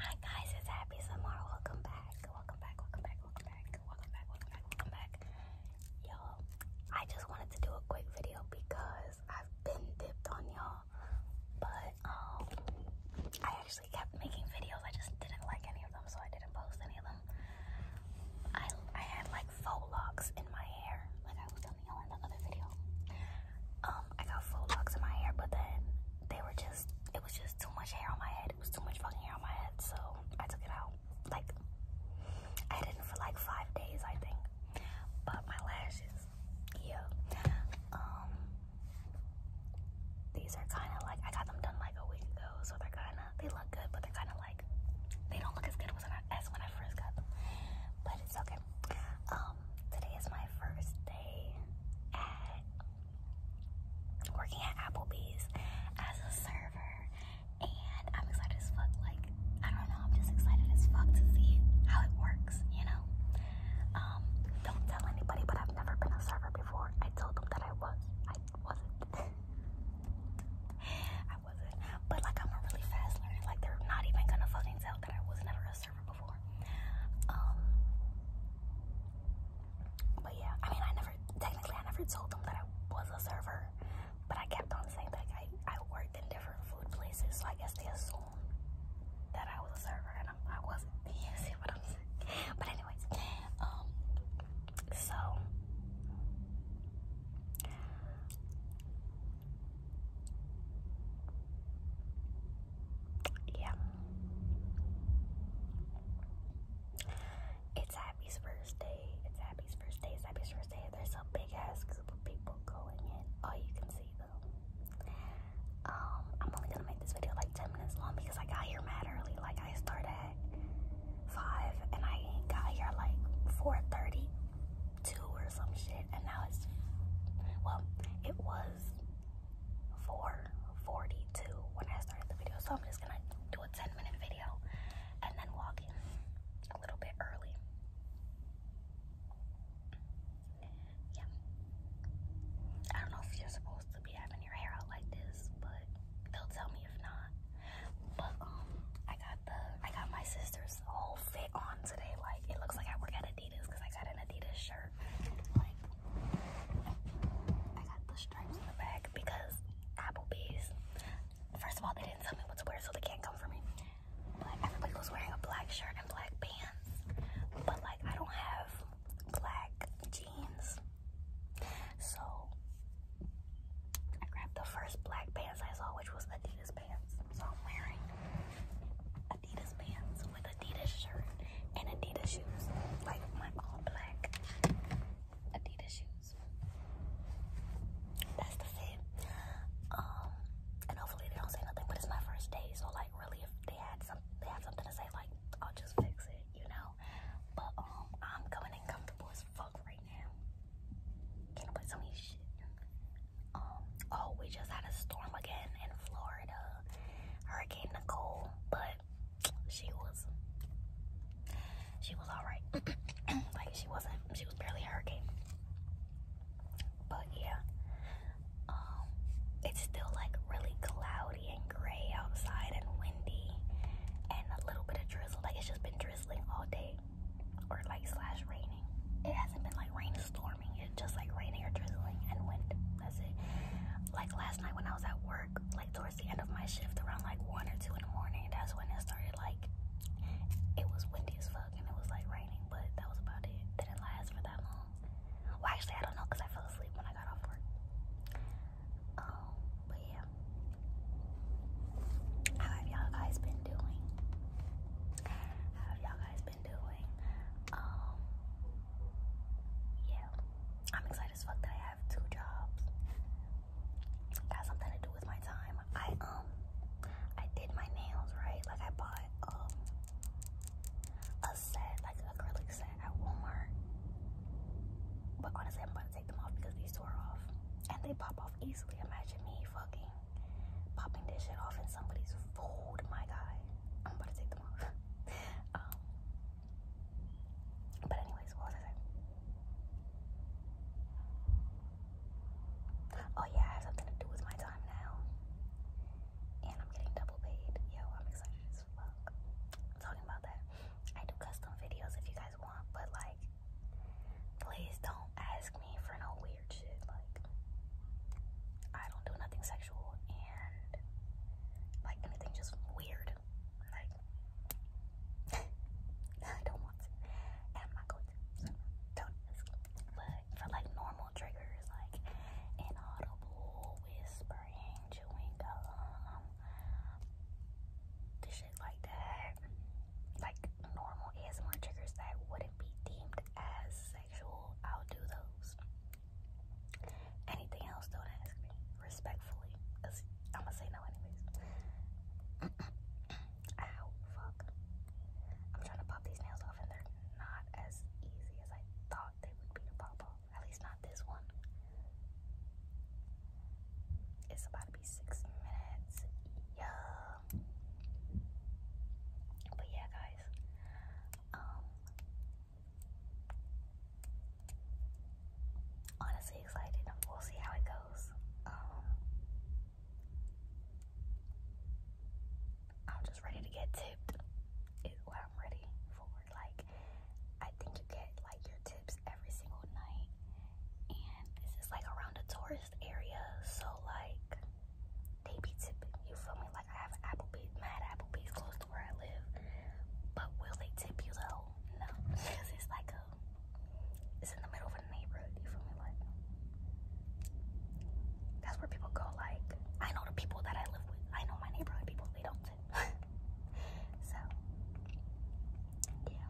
Hi guys, it's Happy Samara. Welcome back. Welcome back. Welcome back. Welcome back. Welcome back. Welcome back. Welcome back. you I just wanted to do a quick video because I've been dipped on y'all. But um I actually kept making videos. I just didn't like any of them, so I didn't post any of them. I I had like faux locks in my hair, like I was telling y'all in the other video. Um, I got full locks in my hair, but then they were just, it was just too much hair on my head. It was too much fucking hair on my head, so I took it out. Like, I had it for like five days, I think. But my lashes, yeah. Um, these are kind of like, I got them done like a week ago, so they're kind of, they look good, but they're kind of like, they don't look as good as when I first got them. But it's okay. Um, today is my first day at working at Applebee's as a server, and I'm excited as fuck. Like, I don't know, I'm just excited as fuck to see how it works, you know? Um, don't tell anybody, but I've never been a server before. I told them that I was. I wasn't. I wasn't. But like I'm really fast learner. Like they're not even gonna fucking tell that I was never a server before. Um, but yeah, I mean, I never technically I never told them that I was a server, but I kept on saying that like, I I worked in different food places, so I guess they assumed that I was a server, and I, I wasn't. You see what I'm saying? But anyways, um, so yeah. It's Happy's first day. It's Happy's first day. It's first day. There's a big ass group of people going in. Oh, you can see them. Um, I'm only gonna make this video like 10 minutes long because I got here mad early. Like I started at 5 and I got here like 4.30, or some shit. And now it's, well, it was 4.42 when I started the video. So I'm just gonna do a 10 minute video and then walk in a little bit early. Yeah. I don't know if you're supposed to be having your hair out like this, but they'll tell me if not. But um I got the I got my sister's whole fit on today. Like it looks like I work at a Adidas because I got an Adidas shirt. I got the stripes in the back because Applebee's. First of all, they didn't tell me what to wear, so they can't come for me. But everybody was wearing a black shirt and black pants. But like, I don't have black jeans, so I grabbed the first black pants I saw, which was Adidas pants. So I'm wearing Adidas pants with Adidas shirt and Adidas shoes. Like my all black Adidas shoes. That's the fit. Um, and hopefully they don't say nothing, but it's my first day, so like really if they had some they have something to say, like I'll just fix it, you know. But um I'm coming in comfortable as fuck right now. Can I put some of shit? Um, oh, we just had a storm again in Florida, Hurricane Nicole, but she was she was all right. like she wasn't, she was barely a hurricane. But yeah, um, it's still like really cloudy and gray outside and windy and a little bit of drizzle. Like it's just been drizzling all day, or like slash raining. It hasn't been like rainstorming. It's just like raining or drizzling and wind. That's it. Like last night when I was at work, like towards the end of my shift, around like one or two in the morning, that's when it started. Like it was windy as fuck and it was like raining, but that was about it. didn't last for that long. Well, actually, I don't know because I fell asleep when I got off work. Um, but yeah. How have y'all guys been doing? How have y'all guys been? doing. Um, yeah, I'm excited as fuck that I have two jobs. Got something to do with my time. I um, I did my nails right. Like I bought um a set, like a acrylic set at Walmart. But honestly, I'm about to take them off because these tore off, and they pop off easily. Imagine me fucking popping this shit off in somebody's food, my guy. I'm about to take them off. Um, but anyways, what was I saying? Oh yeah, I have something to do with my time now. And I'm getting double paid. Yo, I'm excited as fuck. talking about that. I do custom videos if you guys want, but like please don't ask me for no weird weird shit. Like, I don't do nothing sexual and like anything just weird. Like, I don't want to. And I'm not going to. So, don't ask. But for like normal triggers, like inaudible whispering, chewing gum, the shit like that, like normal ASMR triggers that wouldn't be deemed as I'll do those. Anything else, don't ask me. Respectfully. I'm going to say no, anyways. Ow, fuck. I'm trying to pop these nails off, and they're not as easy as I thought they would be to pop off. At least not this one. It's about to be six minutes. Yo but yeah, guys. Um, honestly excited. We'll see how it goes. Um, I'm just ready to get tipped. I'm ready for. Like, I think you get like your tips every single night, and this is like around a tourist area, so like they be tipping. You feel me? Like I have Applebee's, mad Applebee's close to where I live. But will they tip you though? No, because it's like a, it's in the middle of a neighborhood. You feel me? Like that's where people go. Like I know the people that I live with. I know my neighborhood people. They don't tip. so yeah,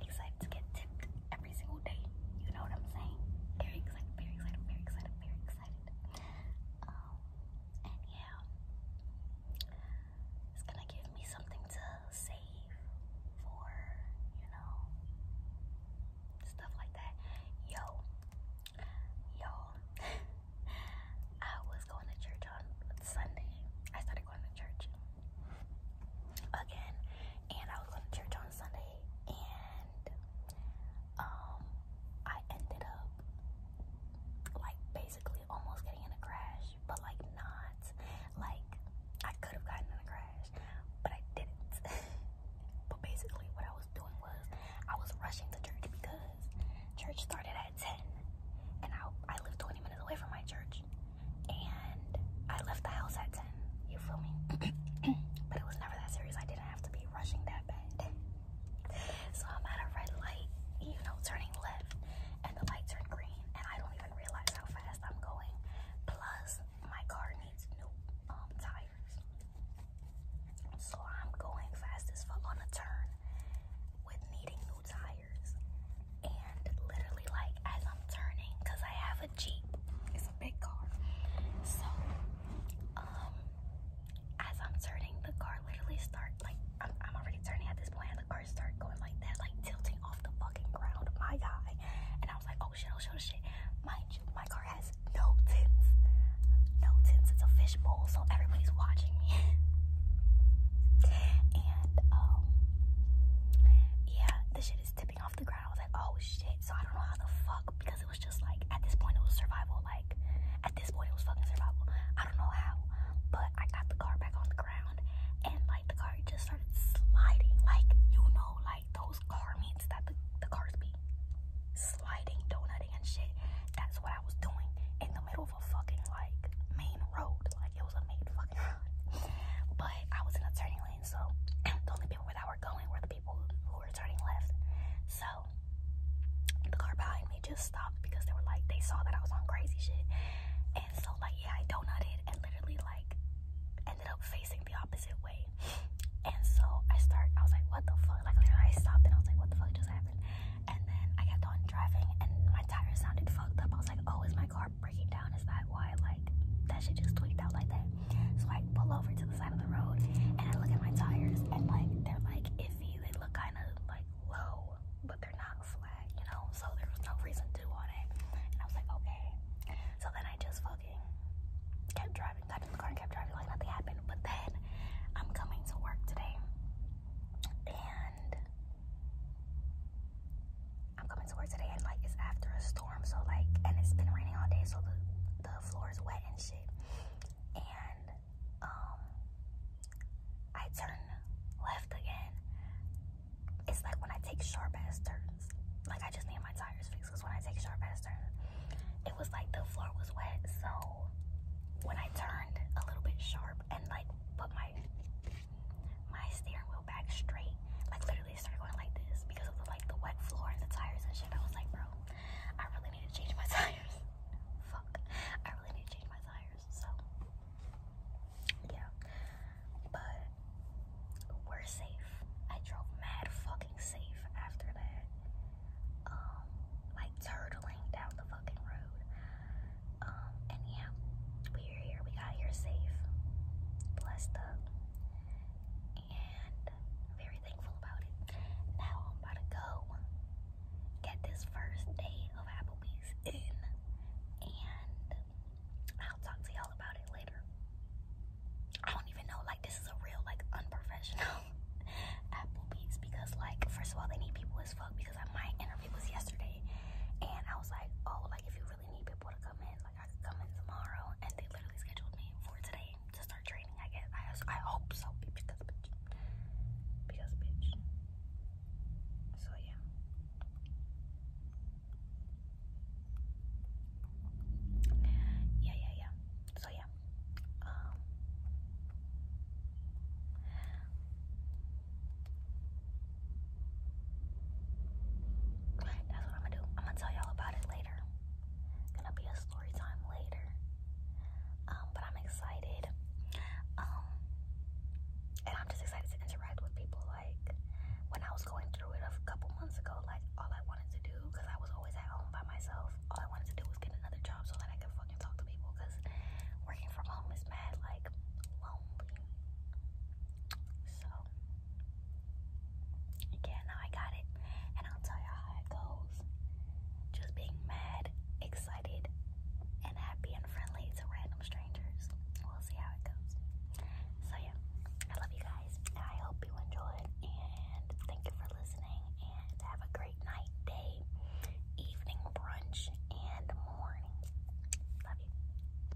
excited to get tipped every single day. You know what I'm saying? Very excited, very excited, very excited, very excited. Um, and yeah, it's gonna give me something to save for, you know, stuff like that. Yo, you I was going to church on Sunday. I started going to church again and I was going to church on Sunday, and um, I ended up like basically almost getting in a crash, but like not like I could have gotten in a crash, but I didn't. but basically, what I was doing was I was rushing to church because church started at 10, and I, I lived 20 minutes away from my church, and I left the house at ten. You feel me? but it was never that serious. I didn't have to be rushing that bad. so I'm at a red light, you know, turning left, and the light turned green, and I don't even realize how fast I'm going. Plus, my car needs new um, tires. So I'm going fast as on a turn with needing new tires. And literally, like, as I'm turning, I have a Jeep, big car. So, um, as I'm turning, the car literally start like I'm, already turning at this point, and the car started going like that, like tilting off the fucking ground. My guy, and I was like, oh shit, oh shit, oh shit. Mind you, my car has no tints, no tints. It's a fishbowl, so everybody's watching me. and um, yeah, this shit is off the ground. I was like, oh shit. So I don't know how the fuck because it was just like at this point it was survival. Like at this point it was fucking survival. I don't know how, but I got the car back on the ground and like the car just started sliding. Like you know, like those car meets that the, the cars be sliding, donut and shit. That's what I was doing in the middle of a fucking like main road. Like it was a main fucking road. but I was in a turning so the only people that were going were the people who were turning left. So the car behind me just stopped because they were like they saw that I was on crazy shit, and so like yeah, I donutted and literally like ended up facing the opposite way. And so I start, I was like, what the fuck? Like literally, I stopped and I was like, what the fuck just happened? And then I kept on driving, and my tire sounded fucked up. I was like, oh, is my car or down. Is that why like that shit just tweaked out like that? So I pull over to the side of the road and I look at my tires and like they're like iffy. They look kind of like low, but they're not flat, you know. So there was no reason to do all that. And I was like, okay. So then I just fucking kept driving, got in the car, and kept driving like nothing happened. But then I'm coming to work today, and I'm coming to work and like it's after a storm, so like, and it's been raining all day, so the, the floor is wet and shit. And um, I turn left again. It's like when I take sharp ass turns. Like I just need my tires fixed because when I take sharp ass turns, it was like the floor was wet. So when I turned a little bit sharp and like put my my steering wheel back straight, like literally literally started going like this because of the like the wet floor and the tires and shit. I was like, bro, I really need to change my tires. Fuck, I really need to change my tires. So yeah, but we're safe. I drove mad fucking safe after that. Um, like turtling down the fucking road. Um, and yeah, we got here safe, blessed and very thankful about it. Now I'm about to go get this first day of Applebee's in, and I'll talk to y'all about it later. I don't even know, like, this is a real, like, unprofessional Applebee's because, like, first of all, they need people as fuck because I, my interview was yesterday and I was like, oh, like, if you really need people to come in, I come in tomorrow, and they literally scheduled me for today to start training. I guess I, I hope so because because bitch. So yeah. Yeah, yeah, yeah. So yeah. Um, that's what I'm gonna do. I'm gonna tell y'all about it later. Gonna be a story time later. Um, but I'm excited. Um, and I'm just excited to interact with people. Like when I was going through it a couple months ago, like all I wanted to do, because I was always at home by myself, all I wanted to do was get another job so that I could fucking talk to people. Because working from home is mad, like lonely. So yeah, I got it, and I'll tell you how it goes. Just being mad, excited, and happy and friendly to random strangers. We'll see how it goes. So yeah, I love you guys. I hope you enjoyed, and thank you for listening. And have a great night, day, evening, brunch, and morning. Love you.